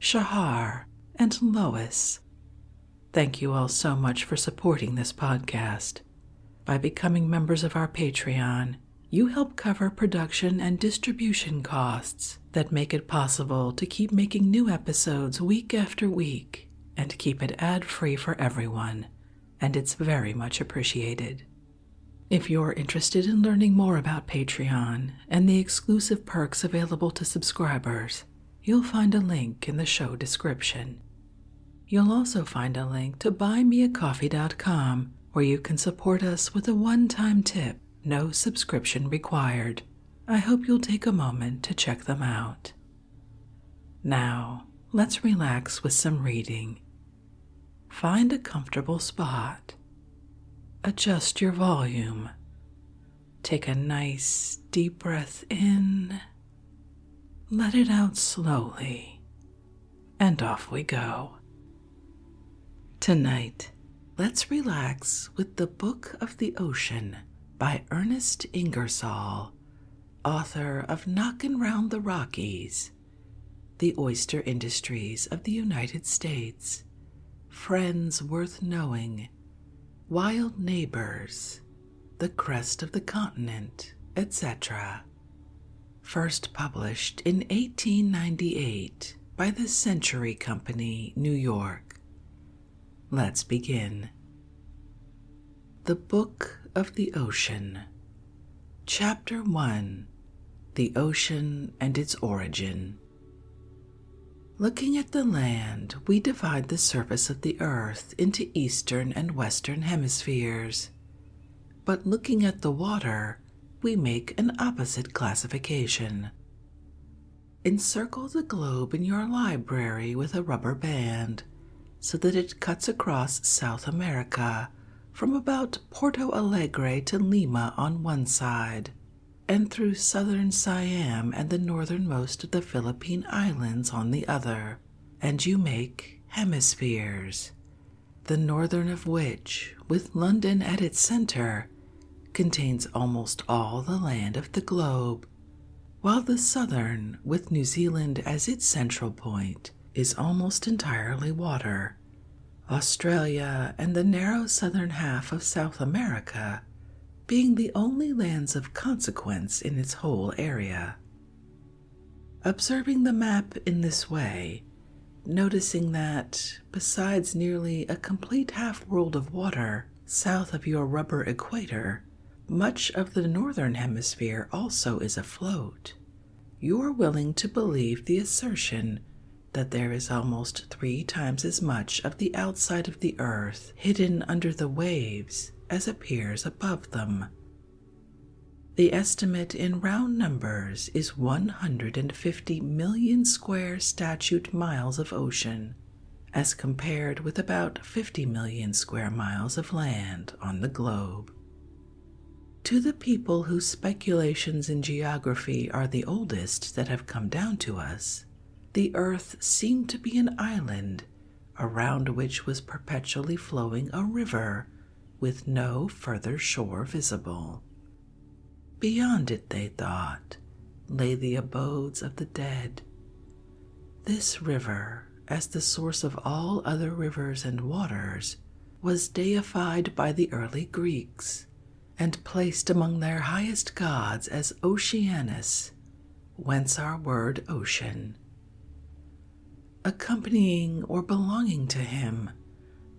Shahar, and Lois. Thank you all so much for supporting this podcast. By becoming members of our Patreon, you help cover production and distribution costs that make it possible to keep making new episodes week after week and keep it ad free for everyone, and it's very much appreciated. If you're interested in learning more about Patreon and the exclusive perks available to subscribers, you'll find a link in the show description. You'll also find a link to buymeacoffee.com where you can support us with a one time tip, no subscription required. I hope you'll take a moment to check them out. Now, let's relax with some reading. Find a comfortable spot Adjust your volume. Take a nice deep breath in, let it out slowly, and off we go. Tonight, let's relax with The Book of the Ocean by Ernest Ingersoll, author of Knockin' Round the Rockies, The Oyster Industries of the United States, friends worth knowing, wild neighbors, the crest of the continent, etc. First published in 1898 by the Century Company, New York. Let's begin. The Book of the Ocean. Chapter 1 The Ocean and Its Origin. Looking at the land, we divide the surface of the earth into eastern and western hemispheres. But looking at the water, we make an opposite classification. Encircle the globe in your library with a rubber band so that it cuts across South America from about Porto Alegre to Lima on one side and through southern Siam and the northernmost of the Philippine Islands on the other, and you make hemispheres, the northern of which, with London at its center, contains almost all the land of the globe, while the southern, with New Zealand as its central point, is almost entirely water Australia, and the narrow southern half of South America being the only lands of consequence in its whole area. Observing the map in this way, noticing that, besides nearly a complete half world of water south of your rubber equator, much of the northern hemisphere also is afloat, you're willing to believe the assertion that there is almost three times as much of the outside of the earth hidden under the waves as appears above them. The estimate in round numbers is 150 million square statute miles of ocean, as compared with about 50 million square miles of land on the globe. To the people whose speculations in geography are the oldest that have come down to us, the earth seemed to be an island around which was perpetually flowing a river with no further shore visible. Beyond it, they thought, lay the abodes of the dead. This river, as the source of all other rivers and waters, was deified by the early Greeks and placed among their highest gods as Oceanus, whence our word ocean. Accompanying or belonging to him,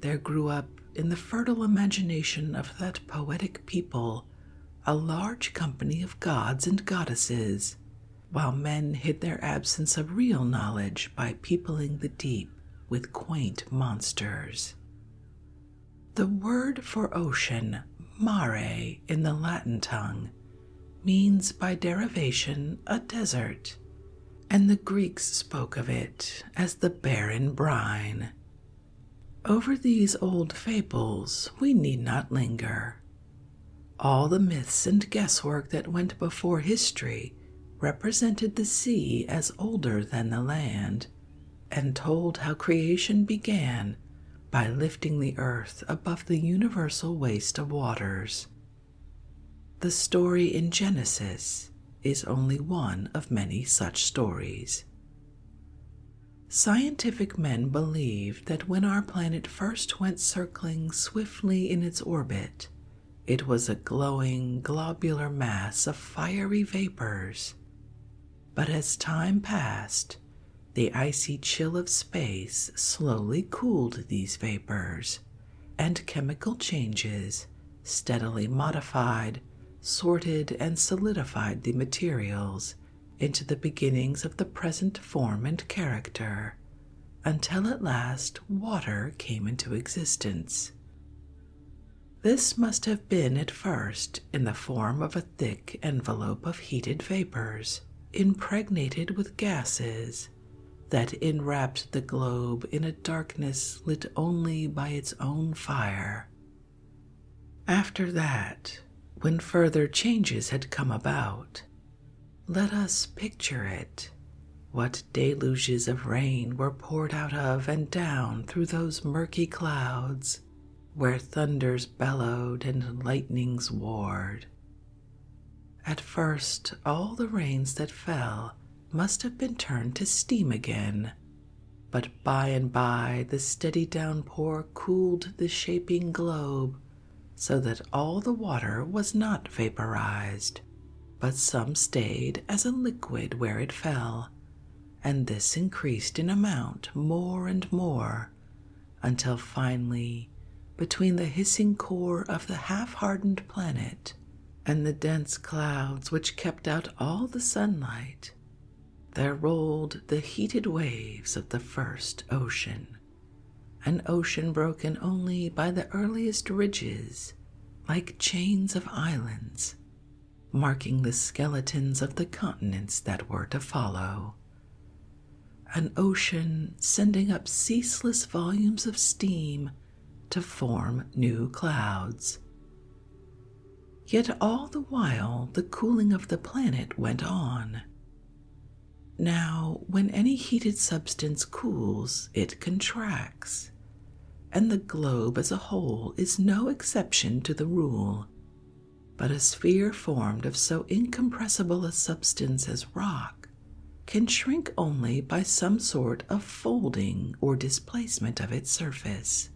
there grew up in the fertile imagination of that poetic people a large company of gods and goddesses, while men hid their absence of real knowledge by peopling the deep with quaint monsters. The word for ocean, mare, in the Latin tongue, means by derivation a desert, and the Greeks spoke of it as the barren brine. Over these old fables we need not linger. All the myths and guesswork that went before history represented the sea as older than the land, and told how creation began by lifting the earth above the universal waste of waters. The story in Genesis is only one of many such stories. Scientific men believe that when our planet first went circling swiftly in its orbit, it was a glowing globular mass of fiery vapors, but as time passed, the icy chill of space slowly cooled these vapors, and chemical changes steadily modified, sorted, and solidified the materials into the beginnings of the present form and character, until at last water came into existence. This must have been at first in the form of a thick envelope of heated vapors, impregnated with gases, that enwrapped the globe in a darkness lit only by its own fire. After that, when further changes had come about, let us picture it. What deluges of rain were poured out of and down through those murky clouds, where thunders bellowed and lightnings warred. At first, all the rains that fell must have been turned to steam again, but by and by the steady downpour cooled the shaping globe so that all the water was not vaporized, but some stayed as a liquid where it fell, and this increased in amount more and more until finally, between the hissing core of the half hardened planet and the dense clouds which kept out all the sunlight, there rolled the heated waves of the first ocean, an ocean broken only by the earliest ridges, like chains of islands marking the skeletons of the continents that were to follow. An ocean sending up ceaseless volumes of steam to form new clouds. Yet all the while the cooling of the planet went on. Now, when any heated substance cools, it contracts, and the globe as a whole is no exception to the rule but a sphere formed of so incompressible a substance as rock can shrink only by some sort of folding or displacement of its surface.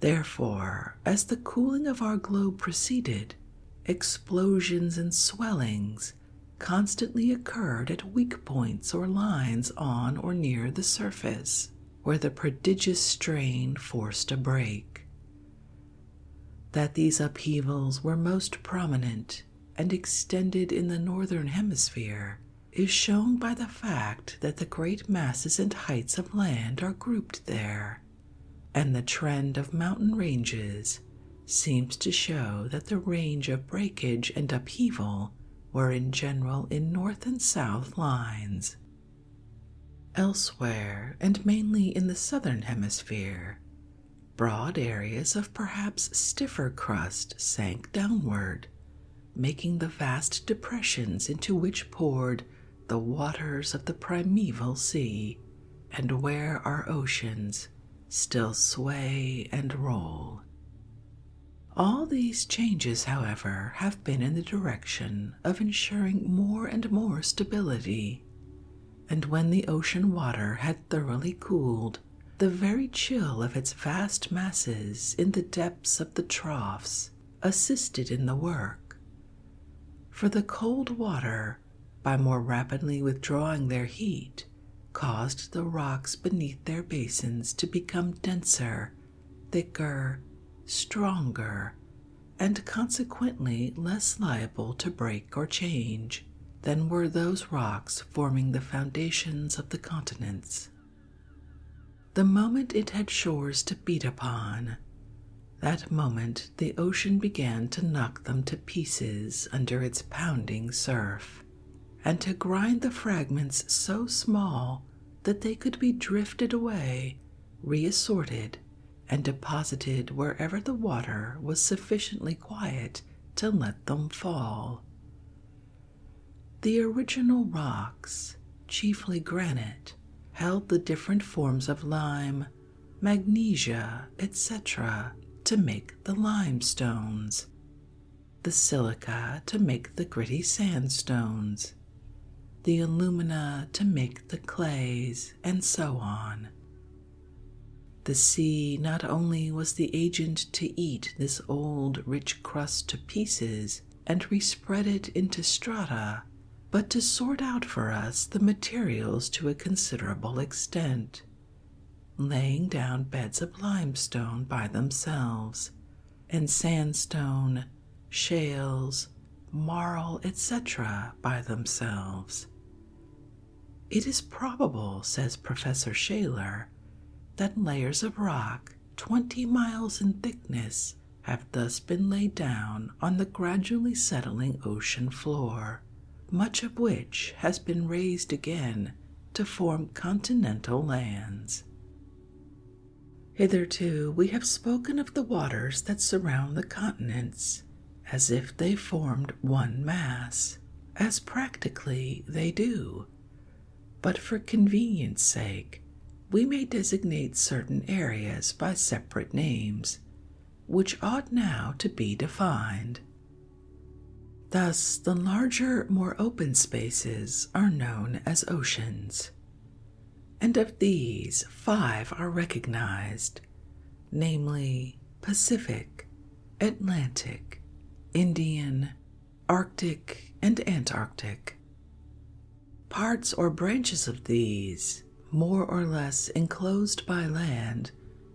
Therefore, as the cooling of our globe proceeded, explosions and swellings constantly occurred at weak points or lines on or near the surface where the prodigious strain forced a break. That these upheavals were most prominent and extended in the northern hemisphere is shown by the fact that the great masses and heights of land are grouped there, and the trend of mountain ranges seems to show that the range of breakage and upheaval were in general in north and south lines Elsewhere, and mainly in the southern hemisphere, broad areas of perhaps stiffer crust sank downward, making the vast depressions into which poured the waters of the primeval sea, and where our oceans still sway and roll. All these changes, however, have been in the direction of ensuring more and more stability, and when the ocean water had thoroughly cooled, the very chill of its vast masses in the depths of the troughs assisted in the work. For the cold water, by more rapidly withdrawing their heat, caused the rocks beneath their basins to become denser thicker, stronger, and consequently less liable to break or change than were those rocks forming the foundations of the continents. The moment it had shores to beat upon, that moment the ocean began to knock them to pieces under its pounding surf, and to grind the fragments so small that they could be drifted away reassorted, and deposited wherever the water was sufficiently quiet to let them fall. The original rocks, chiefly granite, held the different forms of lime, magnesia, etc., to make the limestones, the silica to make the gritty sandstones, the alumina to make the clays, and so on. The sea not only was the agent to eat this old rich crust to pieces and respread it into strata, but to sort out for us the materials to a considerable extent, laying down beds of limestone by themselves and sandstone, shales, marl, etc., by themselves. It is probable, says Professor Shaler, that layers of rock 20 miles in thickness have thus been laid down on the gradually settling ocean floor, much of which has been raised again to form continental lands. Hitherto we have spoken of the waters that surround the continents as if they formed one mass, as practically they do. But for convenience sake, we may designate certain areas by separate names, which ought now to be defined. Thus, the larger, more open spaces are known as oceans and of these five are recognized namely, Pacific, Atlantic, Indian, Arctic, and Antarctic. Parts or branches of these, more or less enclosed by land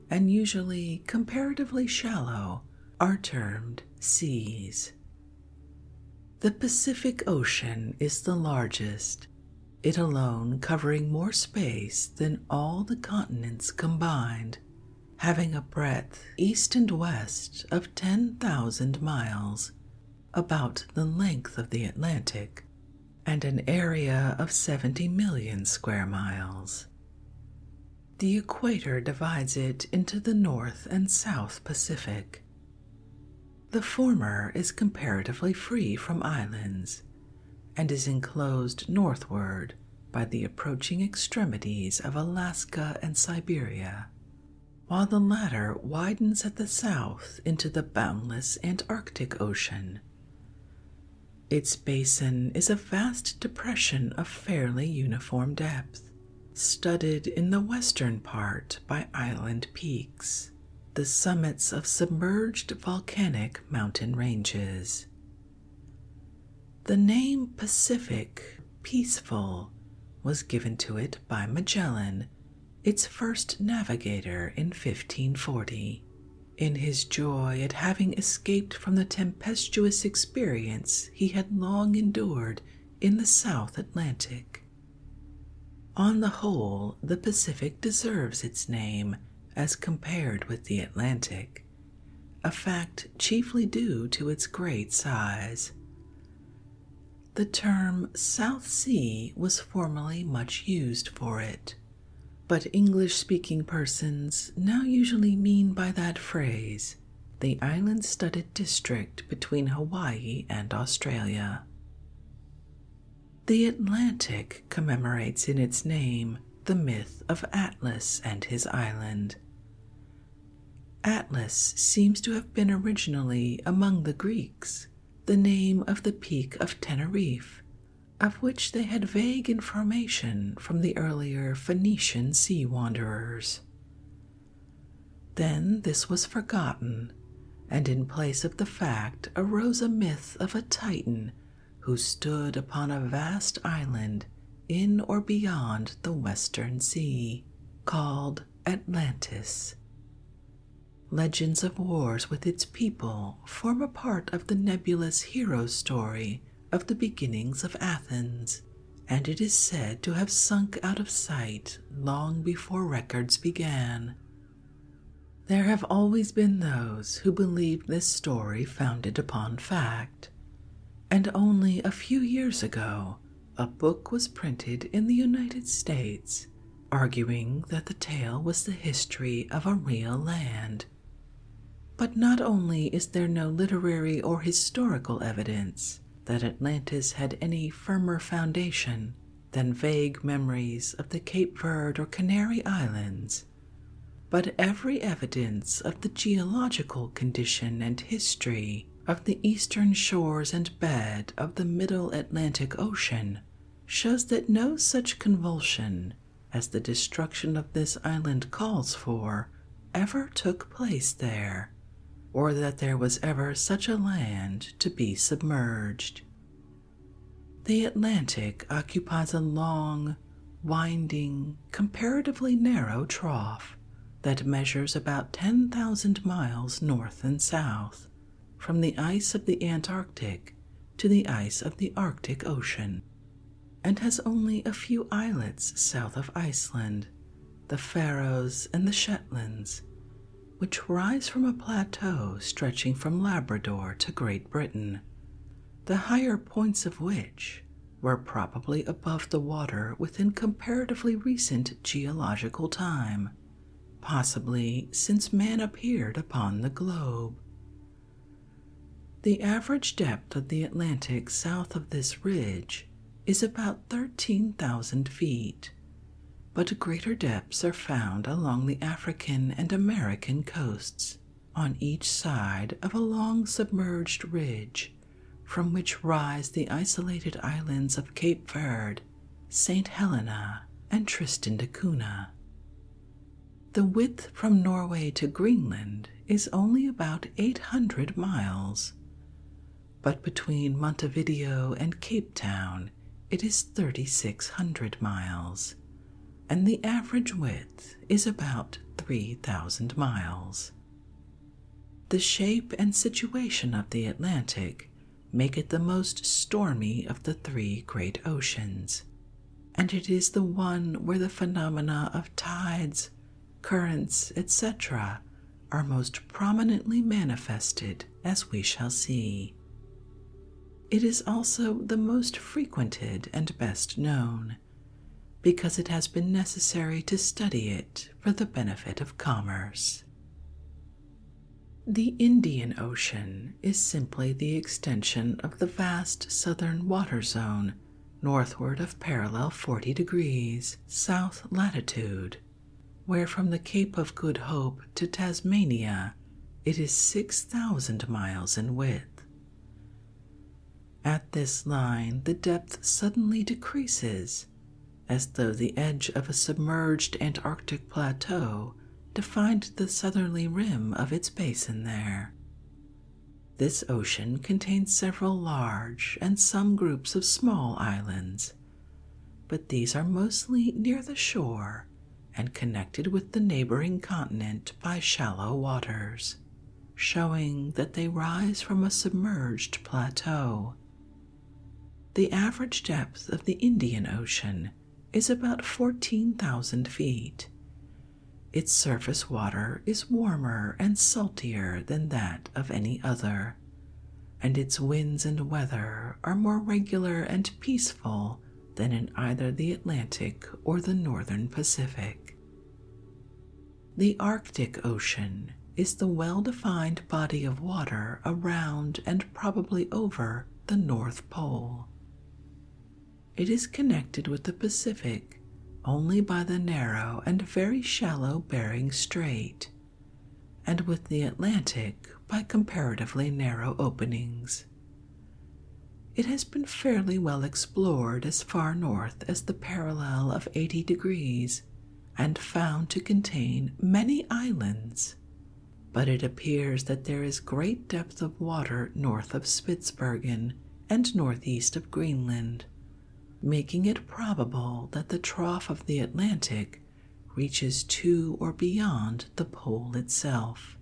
and usually comparatively shallow, are termed seas. The Pacific Ocean is the largest, it alone covering more space than all the continents combined, having a breadth east and west of 10,000 miles, about the length of the Atlantic, and an area of 70 million square miles. The equator divides it into the North and South Pacific, the former is comparatively free from islands and is enclosed northward by the approaching extremities of Alaska and Siberia, while the latter widens at the south into the boundless Antarctic Ocean. Its basin is a vast depression of fairly uniform depth, studded in the western part by island peaks the summits of submerged volcanic mountain ranges. The name Pacific, peaceful, was given to it by Magellan, its first navigator in 1540. In his joy at having escaped from the tempestuous experience he had long endured in the South Atlantic, on the whole, the Pacific deserves its name as compared with the Atlantic, a fact chiefly due to its great size. The term South Sea was formerly much used for it, but English speaking persons now usually mean by that phrase the island studded district between Hawaii and Australia. The Atlantic commemorates in its name the myth of Atlas and his island. Atlas seems to have been originally among the Greeks the name of the peak of Teneriffe, of which they had vague information from the earlier Phoenician sea wanderers. Then this was forgotten, and in place of the fact arose a myth of a Titan who stood upon a vast island in or beyond the Western Sea, called Atlantis. Legends of wars with its people form a part of the nebulous hero story of the beginnings of Athens, and it is said to have sunk out of sight long before records began there have always been those who believed this story founded upon fact, and only a few years ago a book was printed in the United States arguing that the tale was the history of a real land. But not only is there no literary or historical evidence that Atlantis had any firmer foundation than vague memories of the Cape Verde or Canary Islands, but every evidence of the geological condition and history of the eastern shores and bed of the middle Atlantic Ocean shows that no such convulsion as the destruction of this island calls for ever took place there, or that there was ever such a land to be submerged. The Atlantic occupies a long, winding, comparatively narrow trough that measures about 10,000 miles north and south from the ice of the Antarctic to the ice of the Arctic Ocean, and has only a few islets south of Iceland, the Faroes and the Shetlands, which rise from a plateau stretching from Labrador to Great Britain, the higher points of which were probably above the water within comparatively recent geological time, possibly since man appeared upon the globe. The average depth of the Atlantic south of this ridge is about 13,000 feet but greater depths are found along the African and American coasts on each side of a long submerged ridge from which rise the isolated islands of Cape Verde, St. Helena, and Tristan da Cunha. The width from Norway to Greenland is only about 800 miles, but between Montevideo and Cape Town it is 3,600 miles, and the average width is about 3,000 miles. The shape and situation of the Atlantic make it the most stormy of the three great oceans, and it is the one where the phenomena of tides, currents, etc., are most prominently manifested as we shall see. It is also the most frequented and best known, because it has been necessary to study it for the benefit of commerce. The Indian Ocean is simply the extension of the vast southern water zone northward of parallel 40 degrees south latitude where from the Cape of Good Hope to Tasmania it is 6,000 miles in width. At this line, the depth suddenly decreases, as though the edge of a submerged Antarctic plateau defined the southerly rim of its basin there. This ocean contains several large and some groups of small islands but these are mostly near the shore and connected with the neighboring continent by shallow waters, showing that they rise from a submerged plateau. The average depth of the Indian Ocean is about 14,000 feet. Its surface water is warmer and saltier than that of any other, and its winds and weather are more regular and peaceful than in either the Atlantic or the northern Pacific. The Arctic Ocean is the well defined body of water around and probably over the North Pole. It is connected with the Pacific only by the narrow and very shallow Bering Strait, and with the Atlantic by comparatively narrow openings. It has been fairly well explored as far north as the parallel of 80 degrees and found to contain many islands, but it appears that there is great depth of water north of Spitzbergen and northeast of Greenland, making it probable that the trough of the Atlantic reaches to or beyond the pole itself.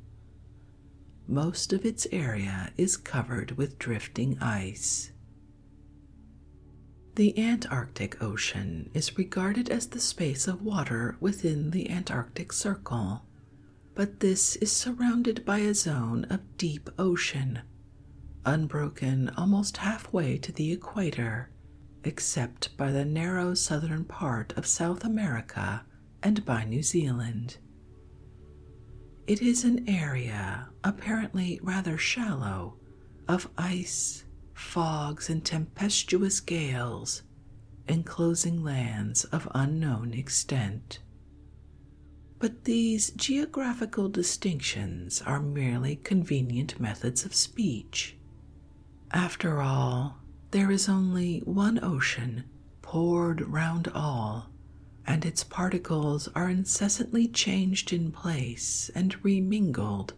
Most of its area is covered with drifting ice. The Antarctic Ocean is regarded as the space of water within the Antarctic Circle, but this is surrounded by a zone of deep ocean, unbroken almost halfway to the equator except by the narrow southern part of South America and by New Zealand. It is an area, apparently rather shallow, of ice, fogs, and tempestuous gales, enclosing lands of unknown extent. But these geographical distinctions are merely convenient methods of speech, after all, there is only one ocean poured round all, and its particles are incessantly changed in place and remingled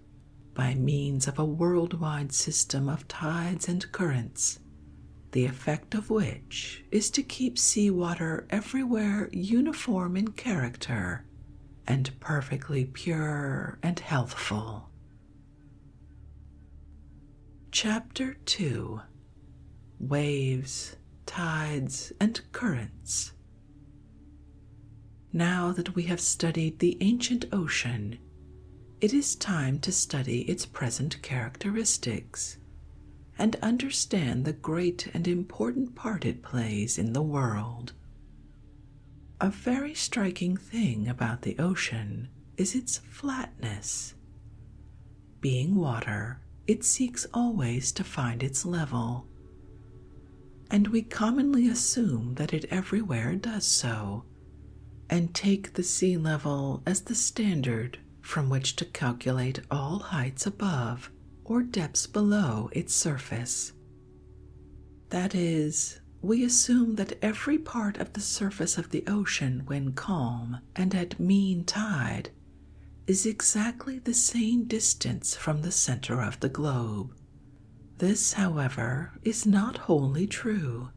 by means of a world-wide system of tides and currents, the effect of which is to keep sea water everywhere uniform in character and perfectly pure and healthful. Chapter 2 Waves, Tides, and Currents. Now that we have studied the ancient ocean, it is time to study its present characteristics and understand the great and important part it plays in the world. A very striking thing about the ocean is its flatness. Being water, it seeks always to find its level, and we commonly assume that it everywhere does so, and take the sea level as the standard from which to calculate all heights above or depths below its surface. That is, we assume that every part of the surface of the ocean, when calm and at mean tide, is exactly the same distance from the center of the globe. This, however, is not wholly true.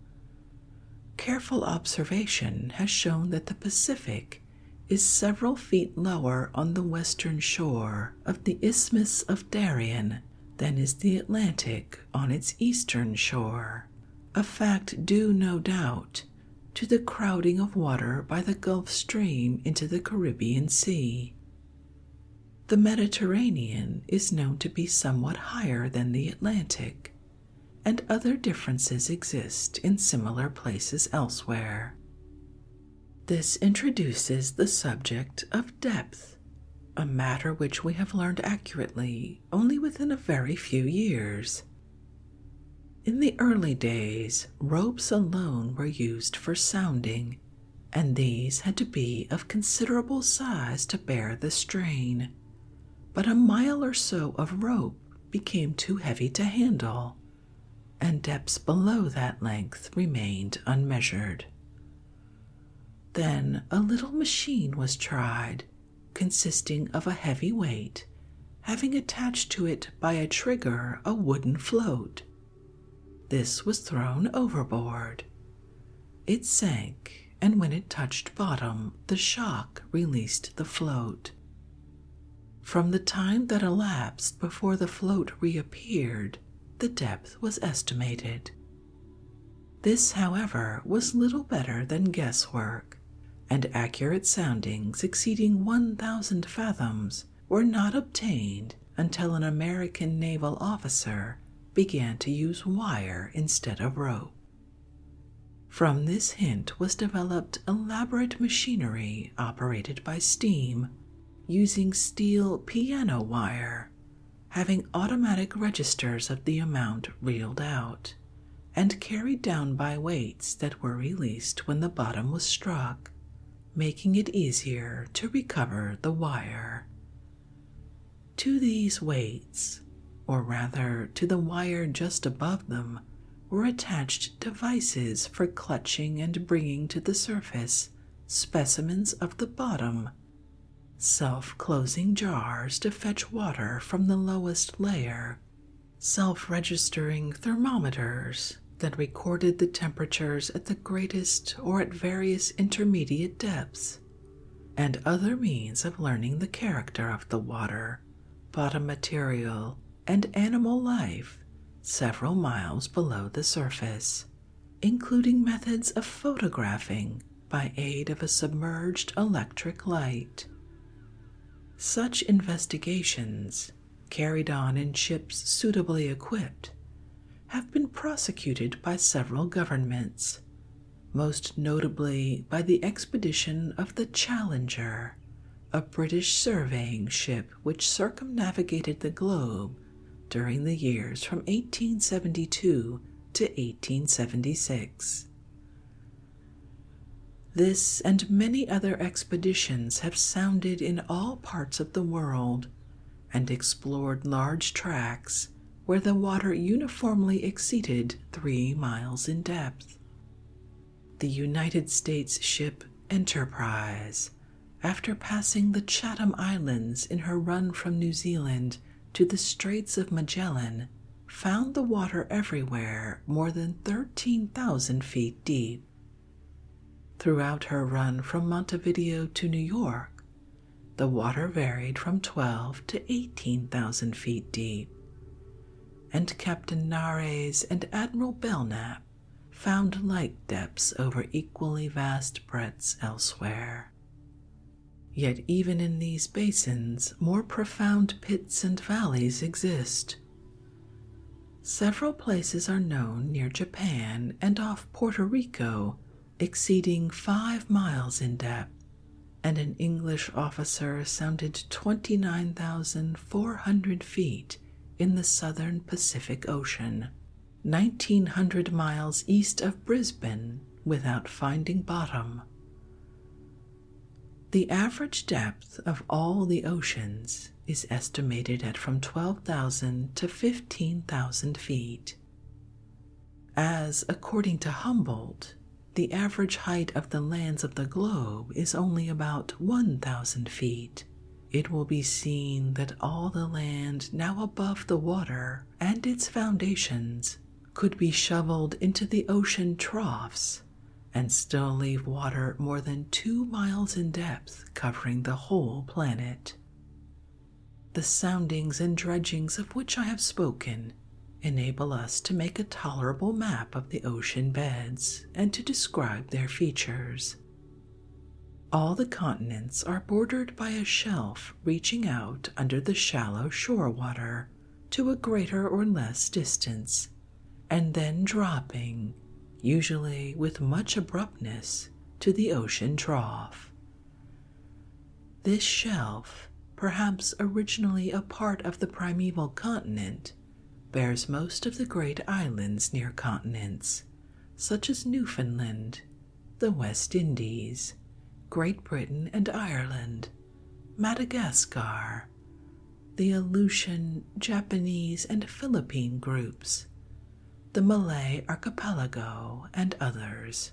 Careful observation has shown that the Pacific is several feet lower on the western shore of the Isthmus of Darien than is the Atlantic on its eastern shore, a fact due, no doubt, to the crowding of water by the Gulf Stream into the Caribbean Sea. The Mediterranean is known to be somewhat higher than the Atlantic, and other differences exist in similar places elsewhere. This introduces the subject of depth, a matter which we have learned accurately only within a very few years. In the early days, ropes alone were used for sounding, and these had to be of considerable size to bear the strain. But a mile or so of rope became too heavy to handle, and depths below that length remained unmeasured. Then a little machine was tried, consisting of a heavy weight, having attached to it by a trigger a wooden float. This was thrown overboard. It sank, and when it touched bottom, the shock released the float. From the time that elapsed before the float reappeared, the depth was estimated this, however, was little better than guesswork, and accurate soundings exceeding 1,000 fathoms were not obtained until an American naval officer began to use wire instead of rope. From this hint was developed elaborate machinery operated by steam using steel piano wire having automatic registers of the amount reeled out and carried down by weights that were released when the bottom was struck, making it easier to recover the wire. To these weights, or rather to the wire just above them, were attached devices for clutching and bringing to the surface specimens of the bottom self closing jars to fetch water from the lowest layer, self registering thermometers that recorded the temperatures at the greatest or at various intermediate depths, and other means of learning the character of the water, bottom material, and animal life several miles below the surface, including methods of photographing by aid of a submerged electric light. Such investigations, carried on in ships suitably equipped, have been prosecuted by several governments, most notably by the expedition of the Challenger, a British surveying ship which circumnavigated the globe during the years from 1872 to 1876. This and many other expeditions have sounded in all parts of the world and explored large tracts where the water uniformly exceeded three miles in depth. The United States ship Enterprise, after passing the Chatham Islands in her run from New Zealand to the Straits of Magellan, found the water everywhere more than 13,000 feet deep. Throughout her run from Montevideo to New York, the water varied from 12 to 18,000 feet deep, and Captain Nares and Admiral Belknap found like depths over equally vast breadths elsewhere. Yet, even in these basins, more profound pits and valleys exist. Several places are known near Japan and off Puerto Rico exceeding five miles in depth, and an English officer sounded 29,400 feet in the southern Pacific Ocean, 1,900 miles east of Brisbane, without finding bottom. The average depth of all the oceans is estimated at from 12,000 to 15,000 feet. As, according to Humboldt, the average height of the lands of the globe is only about 1,000 feet, it will be seen that all the land now above the water and its foundations could be shoveled into the ocean troughs and still leave water more than two miles in depth covering the whole planet. The soundings and dredgings of which I have spoken enable us to make a tolerable map of the ocean beds and to describe their features. All the continents are bordered by a shelf reaching out under the shallow shore water to a greater or less distance, and then dropping, usually with much abruptness, to the ocean trough. This shelf, perhaps originally a part of the primeval continent, bears most of the great islands near continents, such as Newfoundland, the West Indies, Great Britain, and Ireland, Madagascar, the Aleutian, Japanese, and Philippine groups, the Malay archipelago, and others.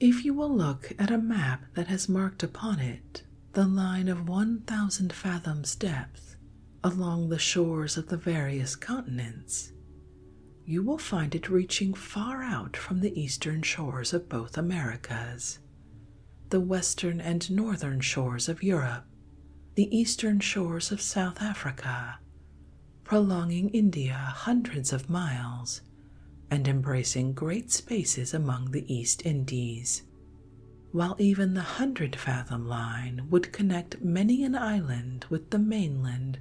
If you will look at a map that has marked upon it the line of 1,000 fathoms depth along the shores of the various continents, you will find it reaching far out from the eastern shores of both Americas, the western and northern shores of Europe, the eastern shores of South Africa, prolonging India hundreds of miles and embracing great spaces among the East Indies. While even the hundred fathom line would connect many an island with the mainland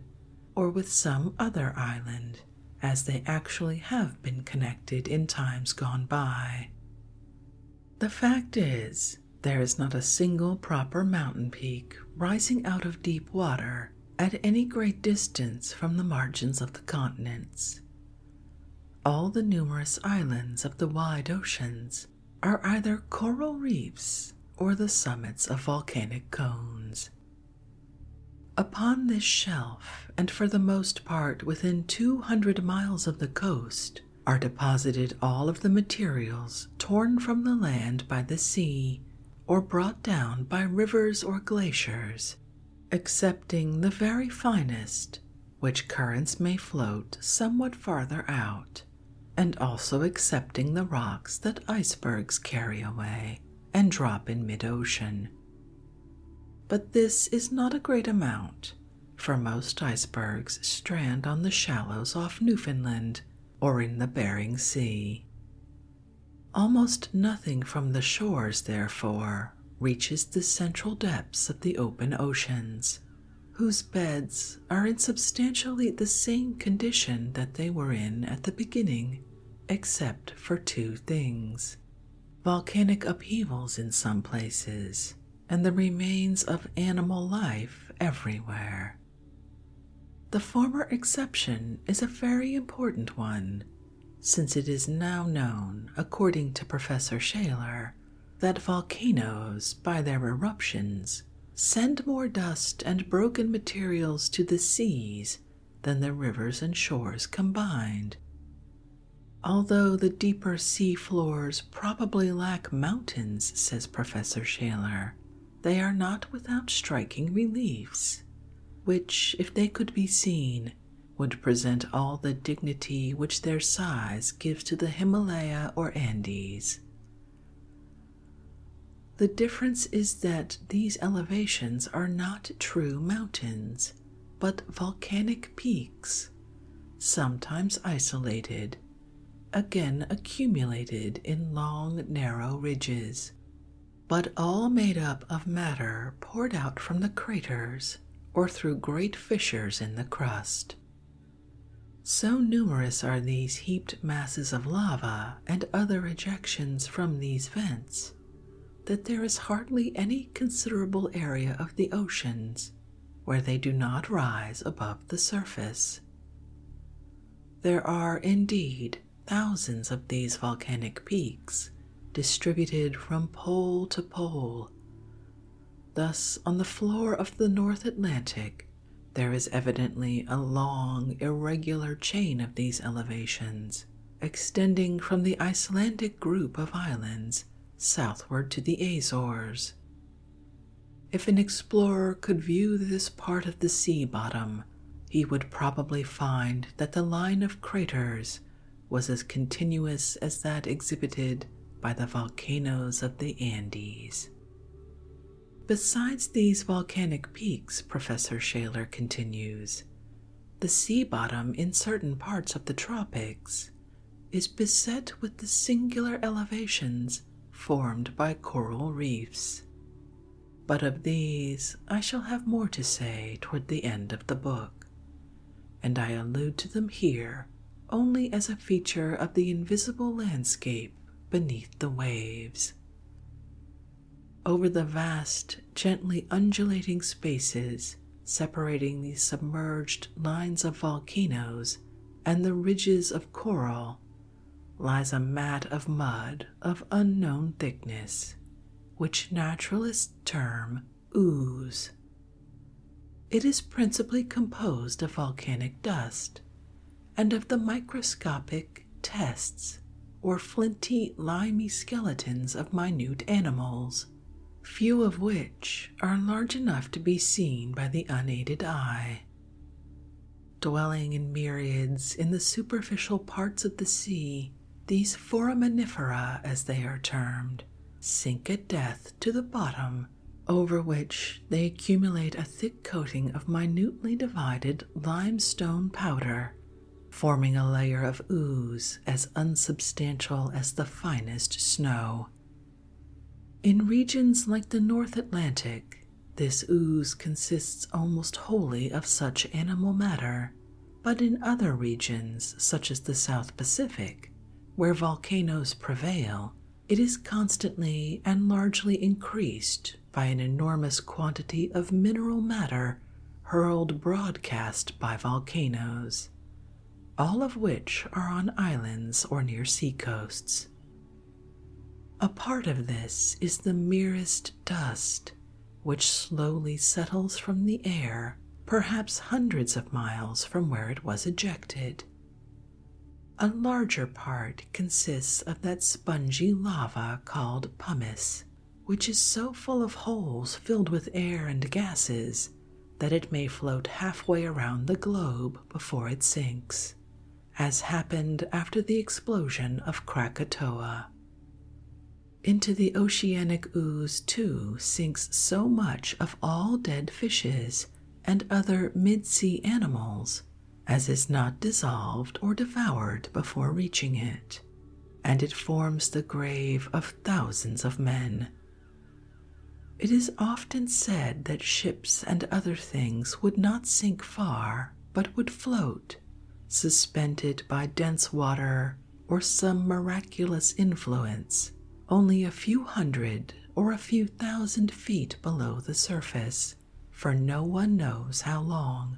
or with some other island as they actually have been connected in times gone by. The fact is, there is not a single proper mountain peak rising out of deep water at any great distance from the margins of the continents. All the numerous islands of the wide oceans are either coral reefs or the summits of volcanic cones, Upon this shelf, and for the most part within 200 miles of the coast, are deposited all of the materials torn from the land by the sea or brought down by rivers or glaciers, excepting the very finest, which currents may float somewhat farther out, and also excepting the rocks that icebergs carry away and drop in mid ocean. But this is not a great amount, for most icebergs strand on the shallows off Newfoundland or in the Bering Sea. Almost nothing from the shores, therefore, reaches the central depths of the open oceans, whose beds are in substantially the same condition that they were in at the beginning, except for two things volcanic upheavals in some places, and the remains of animal life everywhere. The former exception is a very important one, since it is now known, according to Professor Shaler, that volcanoes, by their eruptions, send more dust and broken materials to the seas than the rivers and shores combined. Although the deeper sea floors probably lack mountains, says Professor Shaler, they are not without striking reliefs, which, if they could be seen, would present all the dignity which their size gives to the Himalaya or Andes. The difference is that these elevations are not true mountains but volcanic peaks, sometimes isolated, again accumulated in long, narrow ridges, but all made up of matter poured out from the craters or through great fissures in the crust. So numerous are these heaped masses of lava and other ejections from these vents that there is hardly any considerable area of the oceans where they do not rise above the surface. There are indeed thousands of these volcanic peaks distributed from pole to pole. Thus, on the floor of the North Atlantic, there is evidently a long, irregular chain of these elevations extending from the Icelandic group of islands southward to the Azores. If an explorer could view this part of the sea bottom, he would probably find that the line of craters was as continuous as that exhibited by the volcanoes of the Andes. Besides these volcanic peaks, Professor Shaler continues, the sea bottom in certain parts of the tropics is beset with the singular elevations formed by coral reefs. But of these I shall have more to say toward the end of the book, and I allude to them here only as a feature of the invisible landscape beneath the waves. Over the vast gently undulating spaces separating the submerged lines of volcanoes and the ridges of coral lies a mat of mud of unknown thickness, which naturalists term ooze. It is principally composed of volcanic dust and of the microscopic tests or flinty, limy skeletons of minute animals few of which are large enough to be seen by the unaided eye. Dwelling in myriads in the superficial parts of the sea, these foraminifera, as they are termed, sink at death to the bottom, over which they accumulate a thick coating of minutely divided limestone powder forming a layer of ooze as unsubstantial as the finest snow. In regions like the North Atlantic, this ooze consists almost wholly of such animal matter, but in other regions, such as the South Pacific, where volcanoes prevail, it is constantly and largely increased by an enormous quantity of mineral matter hurled broadcast by volcanoes, all of which are on islands or near seacoasts. A part of this is the merest dust, which slowly settles from the air, perhaps hundreds of miles from where it was ejected. A larger part consists of that spongy lava called pumice, which is so full of holes filled with air and gases that it may float halfway around the globe before it sinks, as happened after the explosion of Krakatoa. Into the oceanic ooze, too, sinks so much of all dead fishes and other mid sea animals as is not dissolved or devoured before reaching it, and it forms the grave of thousands of men. It is often said that ships and other things would not sink far, but would float, suspended by dense water or some miraculous influence, only a few hundred or a few thousand feet below the surface, for no one knows how long.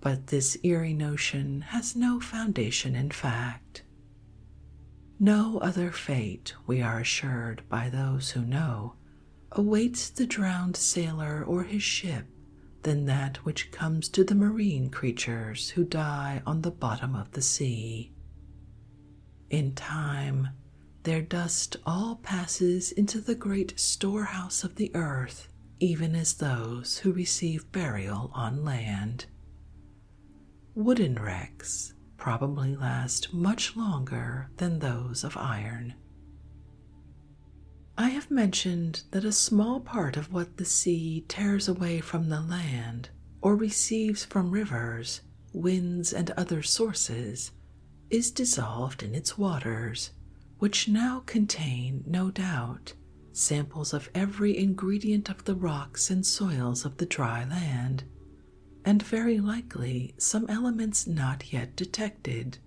But this eerie notion has no foundation in fact. No other fate, we are assured by those who know, awaits the drowned sailor or his ship than that which comes to the marine creatures who die on the bottom of the sea. In time, their dust all passes into the great storehouse of the earth, even as those who receive burial on land. Wooden wrecks probably last much longer than those of iron. I have mentioned that a small part of what the sea tears away from the land or receives from rivers, winds, and other sources is dissolved in its waters, which now contain, no doubt, samples of every ingredient of the rocks and soils of the dry land, and very likely some elements not yet detected.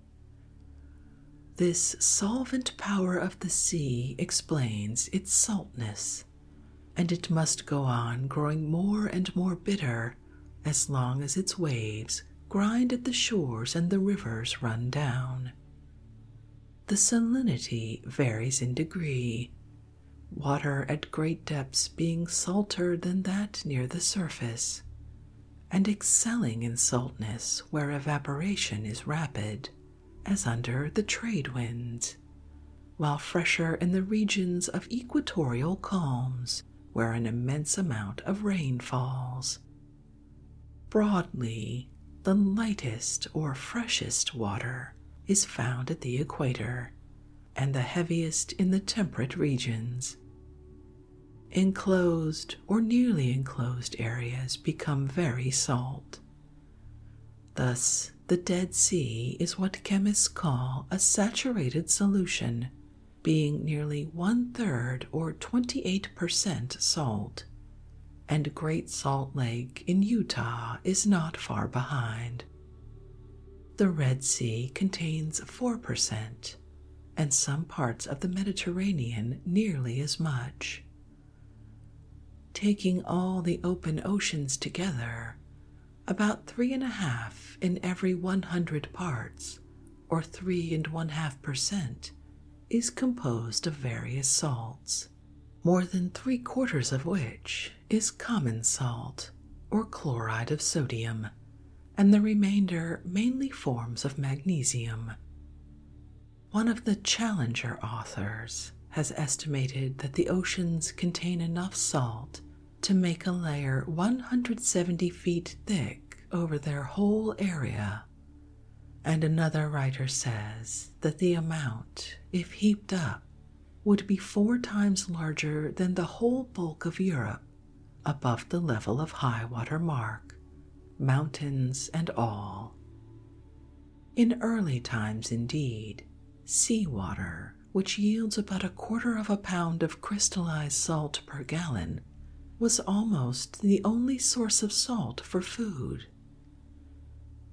This solvent power of the sea explains its saltness, and it must go on growing more and more bitter as long as its waves grind at the shores and the rivers run down. The salinity varies in degree, water at great depths being salter than that near the surface, and excelling in saltness where evaporation is rapid, as under the trade winds, while fresher in the regions of equatorial calms where an immense amount of rain falls. Broadly, the lightest or freshest water is found at the equator and the heaviest in the temperate regions. Enclosed or nearly enclosed areas become very salt. Thus, the Dead Sea is what chemists call a saturated solution, being nearly one third or 28% salt, and Great Salt Lake in Utah is not far behind. The Red Sea contains 4%, and some parts of the Mediterranean nearly as much. Taking all the open oceans together, about three and a half in every 100 parts, or three and one half percent, is composed of various salts more than three quarters of which is common salt or chloride of sodium, and the remainder mainly forms of magnesium. One of the Challenger authors has estimated that the oceans contain enough salt to make a layer 170 feet thick over their whole area. And another writer says that the amount, if heaped up, would be four times larger than the whole bulk of Europe above the level of high water mark, mountains and all. In early times, indeed, sea water, which yields about a quarter of a pound of crystallized salt per gallon, was almost the only source of salt for food.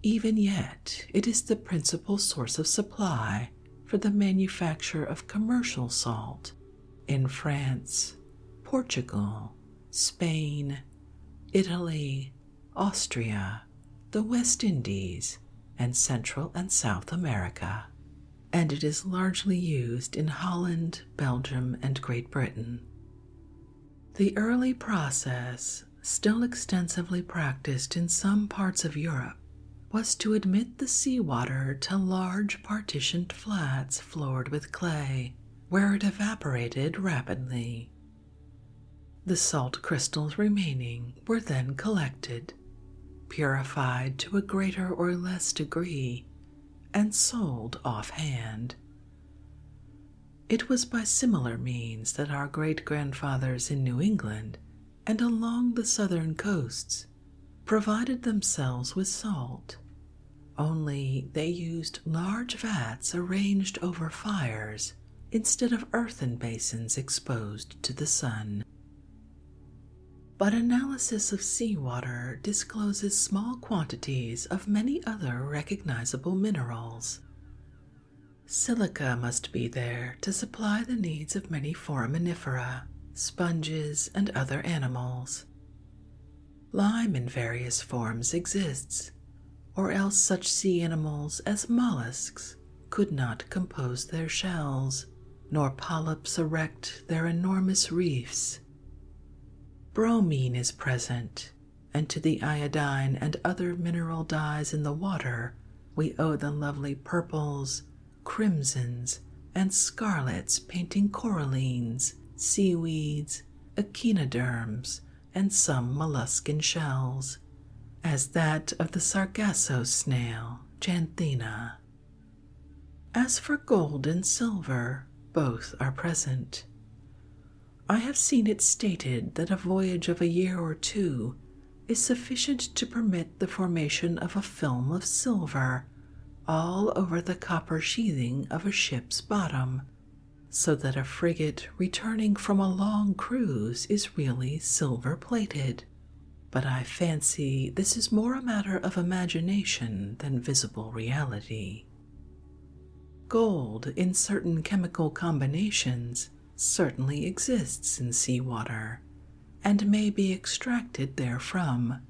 Even yet, it is the principal source of supply for the manufacture of commercial salt in France, Portugal, Spain, Italy, Austria, the West Indies, and Central and South America, and it is largely used in Holland, Belgium, and Great Britain. The early process still extensively practiced in some parts of Europe, was to admit the sea water to large partitioned flats floored with clay, where it evaporated rapidly. The salt crystals remaining were then collected, purified to a greater or less degree, and sold offhand. It was by similar means that our great grandfathers in New England and along the southern coasts provided themselves with salt, only they used large vats arranged over fires instead of earthen basins exposed to the sun. But analysis of seawater discloses small quantities of many other recognizable minerals, Silica must be there to supply the needs of many foraminifera, sponges, and other animals. Lime in various forms exists, or else such sea animals as mollusks could not compose their shells, nor polyps erect their enormous reefs. Bromine is present and to the iodine and other mineral dyes in the water, we owe the lovely purples, crimsons, and scarlets painting corallines, seaweeds, echinoderms, and some molluscan shells, as that of the sargasso snail, Janthina. As for gold and silver, both are present. I have seen it stated that a voyage of a year or two is sufficient to permit the formation of a film of silver all over the copper sheathing of a ship's bottom, so that a frigate returning from a long cruise is really silver plated. But I fancy this is more a matter of imagination than visible reality. Gold in certain chemical combinations certainly exists in sea water, and may be extracted therefrom.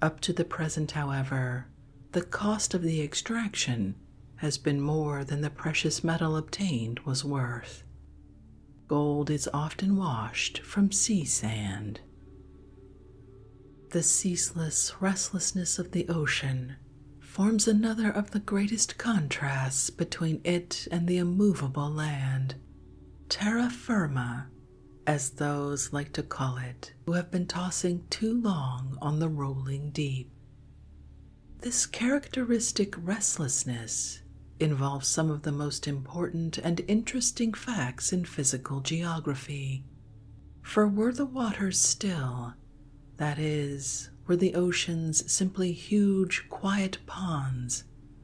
Up to the present, however, the cost of the extraction has been more than the precious metal obtained was worth. Gold is often washed from sea sand. The ceaseless restlessness of the ocean forms another of the greatest contrasts between it and the immovable land, terra firma, as those like to call it who have been tossing too long on the rolling deep. This characteristic restlessness involves some of the most important and interesting facts in physical geography. For were the waters still, that is, were the oceans simply huge, quiet ponds,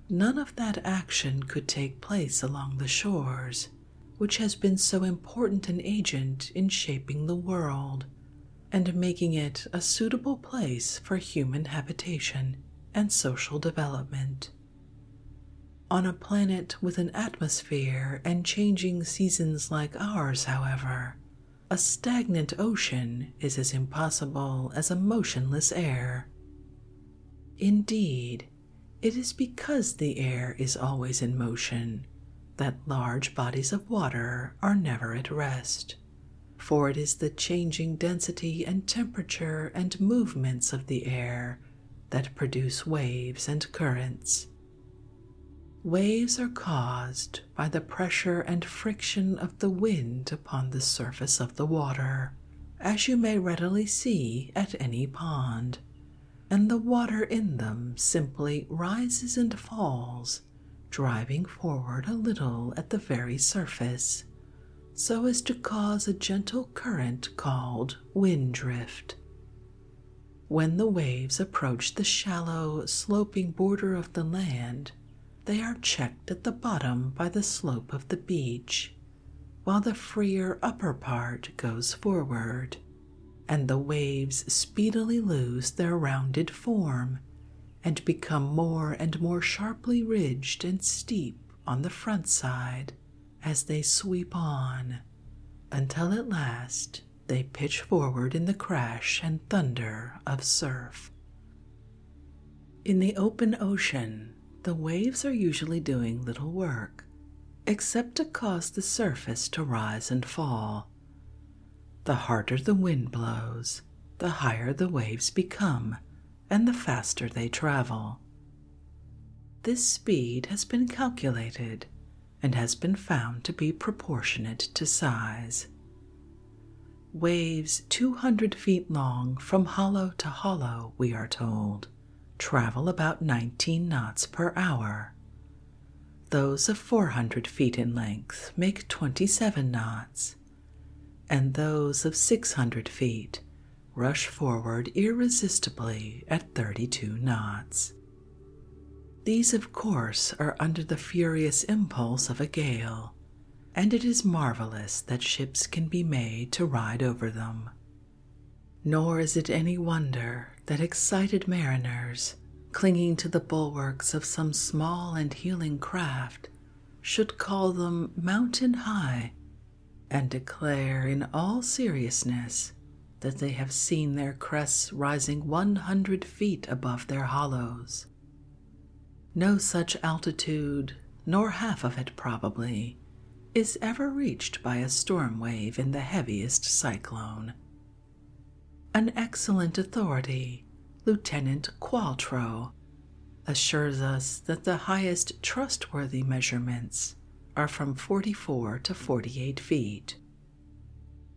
none of that action could take place along the shores, which has been so important an agent in shaping the world and making it a suitable place for human habitation and social development. On a planet with an atmosphere and changing seasons like ours, however, a stagnant ocean is as impossible as a motionless air. Indeed, it is because the air is always in motion that large bodies of water are never at rest, for it is the changing density and temperature and movements of the air that produce waves and currents. Waves are caused by the pressure and friction of the wind upon the surface of the water, as you may readily see at any pond, and the water in them simply rises and falls, driving forward a little at the very surface, so as to cause a gentle current called wind drift. When the waves approach the shallow, sloping border of the land, they are checked at the bottom by the slope of the beach, while the freer upper part goes forward, and the waves speedily lose their rounded form and become more and more sharply ridged and steep on the front side as they sweep on, until at last they pitch forward in the crash and thunder of surf. In the open ocean, the waves are usually doing little work except to cause the surface to rise and fall. The harder the wind blows, the higher the waves become and the faster they travel. This speed has been calculated and has been found to be proportionate to size waves 200 feet long from hollow to hollow, we are told, travel about 19 knots per hour. Those of 400 feet in length make 27 knots, and those of 600 feet rush forward irresistibly at 32 knots. These, of course, are under the furious impulse of a gale and it is marvelous that ships can be made to ride over them. Nor is it any wonder that excited mariners, clinging to the bulwarks of some small and heeling craft, should call them mountain high and declare in all seriousness that they have seen their crests rising 100 feet above their hollows. No such altitude, nor half of it probably, is ever reached by a storm wave in the heaviest cyclone. An excellent authority, Lieutenant Qualtro, assures us that the highest trustworthy measurements are from 44 to 48 feet.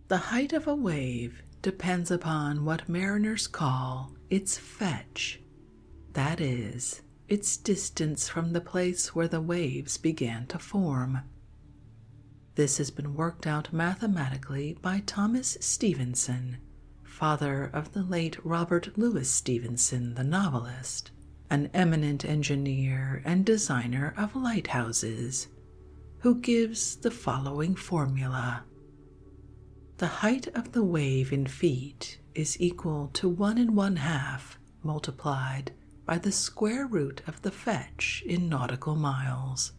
The height of a wave depends upon what mariners call its fetch, that is, its distance from the place where the waves began to form. This has been worked out mathematically by Thomas Stevenson, father of the late Robert Louis Stevenson, the novelist, an eminent engineer and designer of lighthouses, who gives the following formula the height of the wave in feet is equal to one and one half multiplied by the square root of the fetch in nautical miles.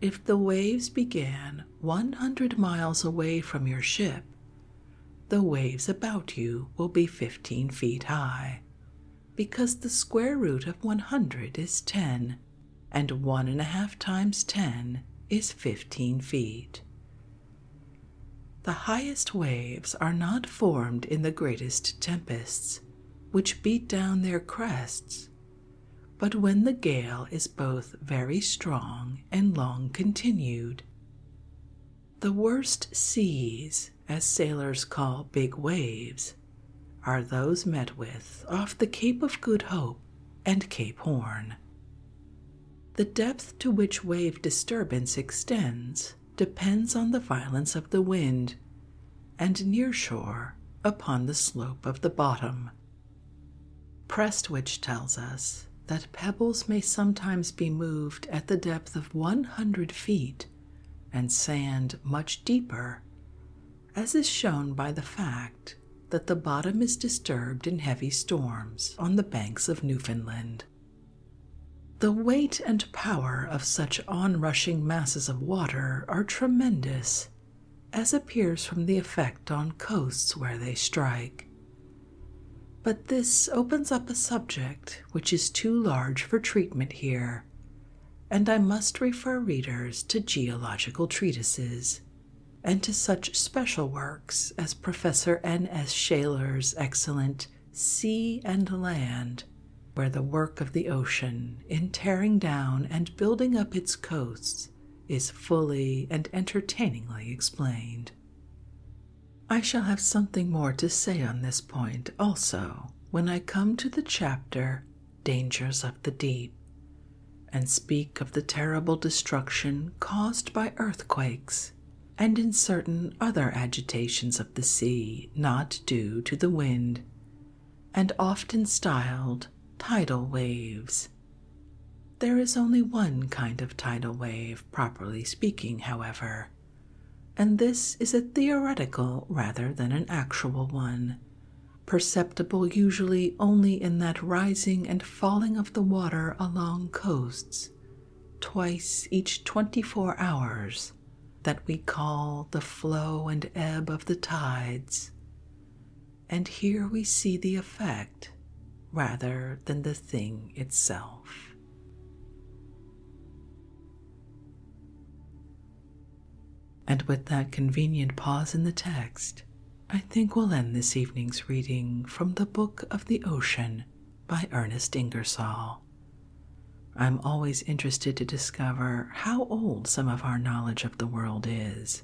If the waves began 100 miles away from your ship, the waves about you will be 15 feet high because the square root of 100 is 10 and one and a half times 10 is 15 feet. The highest waves are not formed in the greatest tempests, which beat down their crests, but when the gale is both very strong and long continued. The worst seas, as sailors call big waves, are those met with off the Cape of Good Hope and Cape Horn. The depth to which wave disturbance extends depends on the violence of the wind, and near shore upon the slope of the bottom. Prestwich tells us that pebbles may sometimes be moved at the depth of 100 feet and sand much deeper as is shown by the fact that the bottom is disturbed in heavy storms on the banks of Newfoundland. The weight and power of such onrushing masses of water are tremendous, as appears from the effect on coasts where they strike. But this opens up a subject which is too large for treatment here, and I must refer readers to geological treatises and to such special works as Professor N. S. Shaler's excellent Sea and Land, where the work of the ocean in tearing down and building up its coasts is fully and entertainingly explained. I shall have something more to say on this point also when I come to the chapter dangers of the deep, and speak of the terrible destruction caused by earthquakes and in certain other agitations of the sea not due to the wind, and often styled tidal waves. There is only one kind of tidal wave, properly speaking, however, and this is a theoretical rather than an actual one, perceptible usually only in that rising and falling of the water along coasts twice each 24 hours that we call the flow and ebb of the tides. And here we see the effect rather than the thing itself. And with that convenient pause in the text, I think we'll end this evening's reading from the Book of the Ocean by Ernest Ingersoll. I'm always interested to discover how old some of our knowledge of the world is,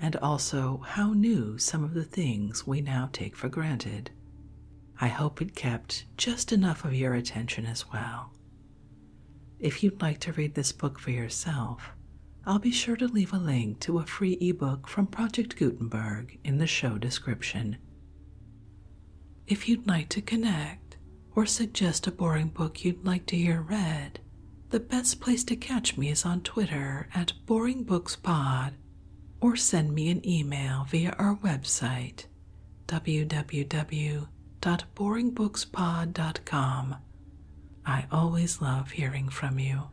and also how new some of the things we now take for granted. I hope it kept just enough of your attention as well. If you'd like to read this book for yourself, I'll be sure to leave a link to a free ebook from Project Gutenberg in the show description. If you'd like to connect or suggest a boring book you'd like to hear read, the best place to catch me is on Twitter at BoringBooksPod or send me an email via our website www.boringbookspod.com I always love hearing from you.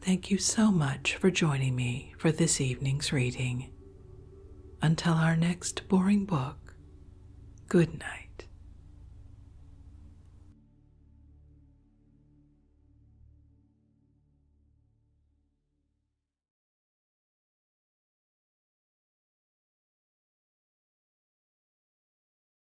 Thank you so much for joining me for this evening's reading. Until our next boring book, good night.